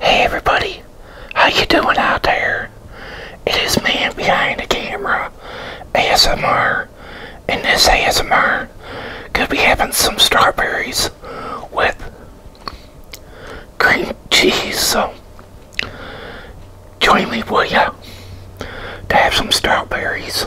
Hey everybody, how you doing out there? It is man behind the camera, ASMR, and this ASMR could be having some strawberries with cream cheese, so join me will ya to have some strawberries.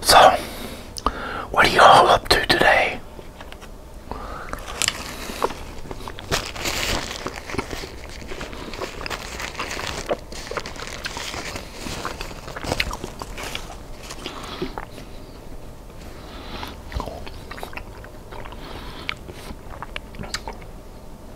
So, what are you all up to today?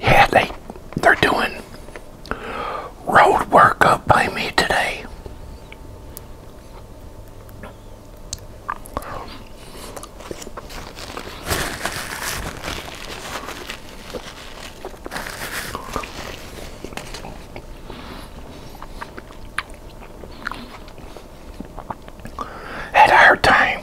Yeah, they they're doing road work up by me today had a hard time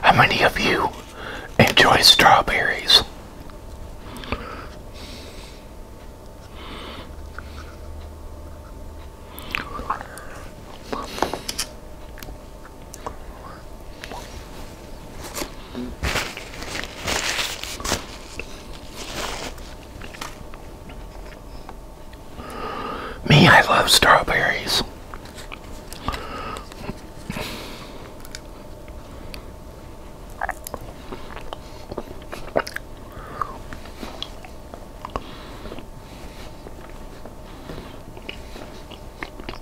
How many of you enjoy strawberries? Me, I love strawberries.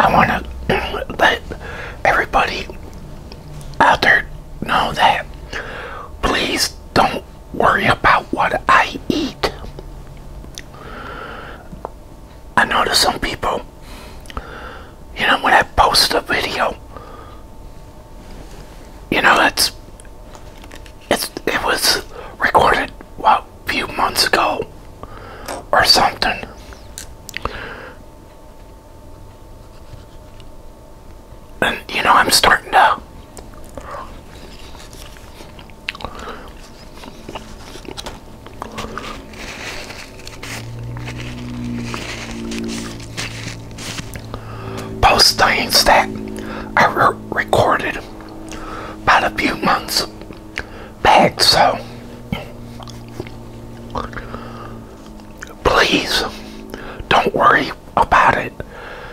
I want to let everybody out there know that please don't worry about what I eat. I notice some people, you know, when I post a video, you know, it's, it's it was recorded, what, a few months ago or something. And you know, I'm starting to post things that I re recorded about a few months back, so please don't worry about it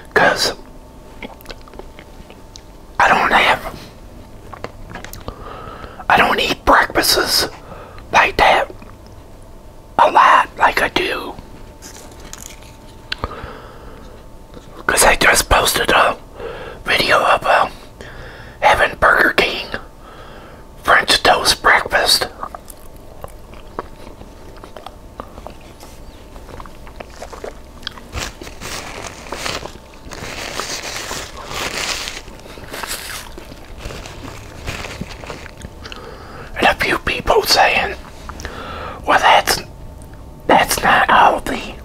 because I don't have I don't eat breakfasts like that a lot like I do because I just posted a video about uh, having Burger King French toast breakfast and a few people saying, well, that's, that's not healthy.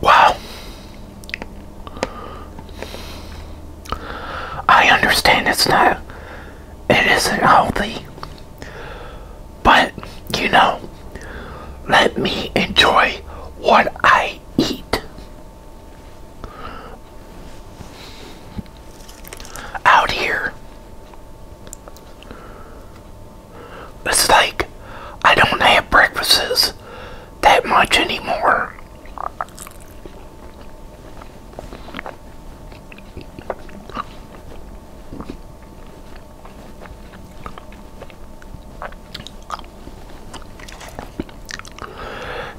Wow. I understand it's not, it isn't healthy, but you know, let me enjoy what I eat. Out here. It's like I don't have breakfasts that much anymore.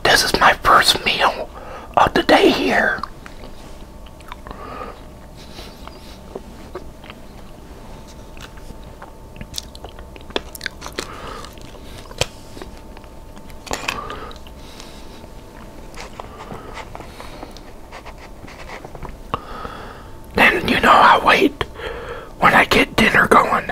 This is my first meal of the day here. Then you know i wait when I get dinner going.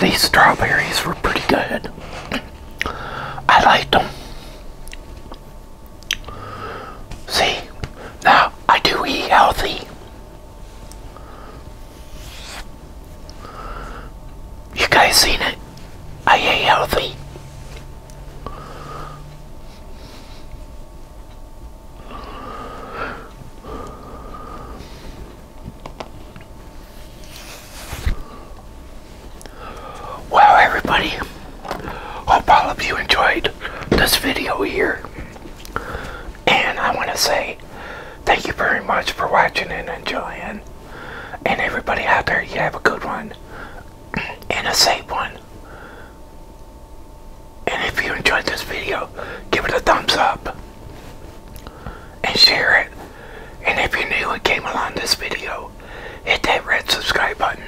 these strawberries were pretty good. I liked them. See, now I do eat healthy. You guys seen it? I eat healthy. Well, everybody, hope all of you enjoyed this video here. And I want to say thank you very much for watching and enjoying. And everybody out there, you have a good one and a safe one. And if you enjoyed this video, give it a thumbs up and share it. And if you're new and came along this video, hit that red subscribe button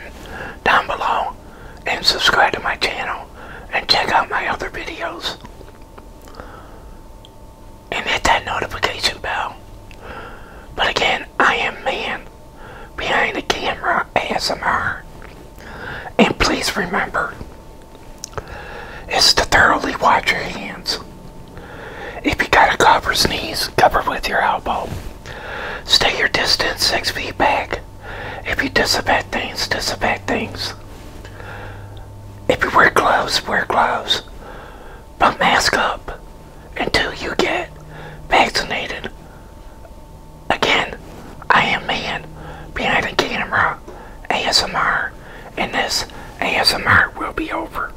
down below and subscribe to my channel and check out my other videos. And hit that notification bell. But again, I am man behind the camera ASMR. And please remember, it's to thoroughly wash your hands. If you got a cough or sneeze, cover with your elbow. Stay your distance six feet back. If you disinfect things, disinfect things. If you wear gloves, wear gloves. But mask up until you get vaccinated. Again, I am man behind the camera, ASMR, and this ASMR will be over.